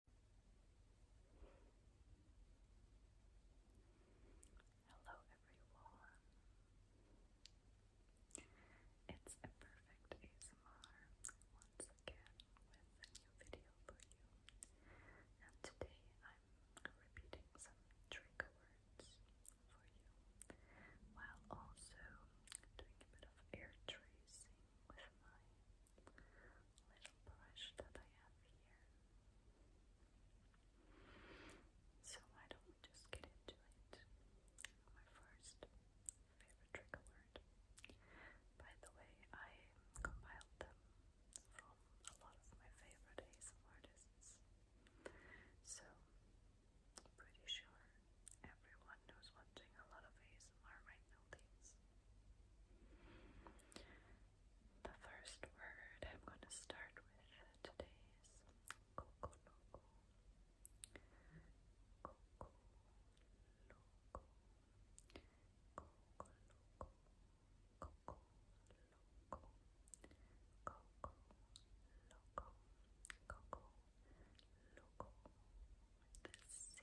Hello, everyone. It's a ASMR once again with a new video for you. And today I'm repeating some trigger words for you while also doing a bit of air tracing with my little brush that I have here. So why don't we just get into it? My first favorite trigger word. By the way, I compiled them from a lot of my favorite ASMR artists. So pretty sure everyone who's watching a lot of ASMR right now thinks the first word I'm going to start with today is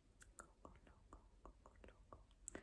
Coco Loco, Next word smoking.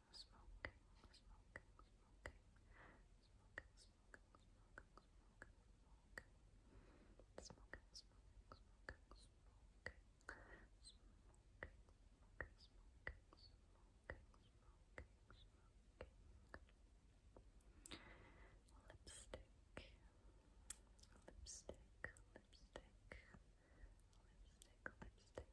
smoking, smoking, Lipstick, lipstick, lipstick, lipstick, lipstick, lipstick,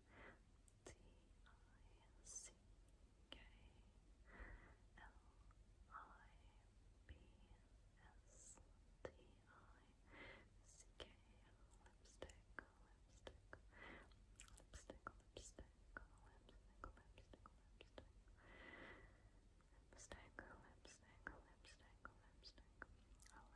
lipstick, lipstick, lipstick, lipstick, lipstick,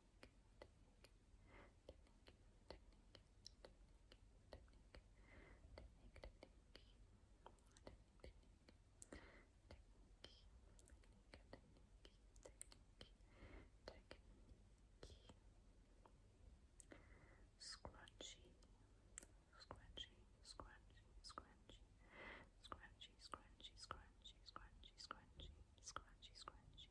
Scrunchy, scrunchy, scrunchy, scrunchy, scrunchy, scrunchy, scrunchy, scrunchy, scrunchy, scrunchy, scrunchy,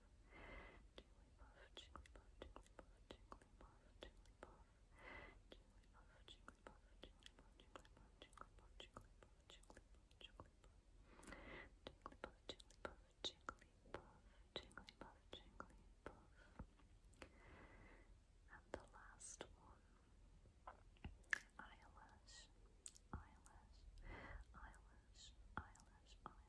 And the last one, eyelash, eyelash, eyelash, eyelash, eyelash.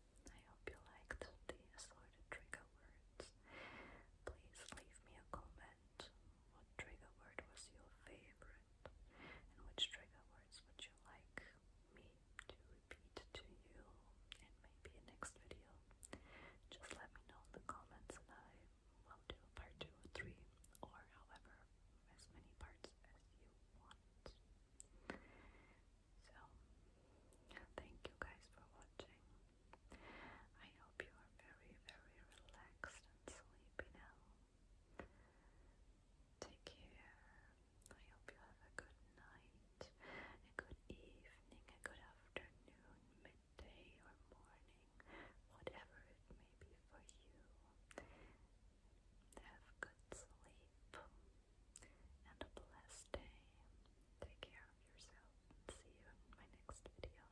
I hope you liked the assorted trigger words. Please leave me a comment. What trigger word was your favorite? And which trigger words would you like me to repeat to you in maybe a next video? Just let me know in the comments and I will do part 2 or 3 or however, as many parts as you want. So, thank you guys for watching. I hope you are very, very relaxed and sleepy now. Take care. I hope you have a good night, a good evening, a good afternoon, midday, or morning, whatever it may be for you. Have good sleep and a blessed day. Take care of yourself see you in my next video.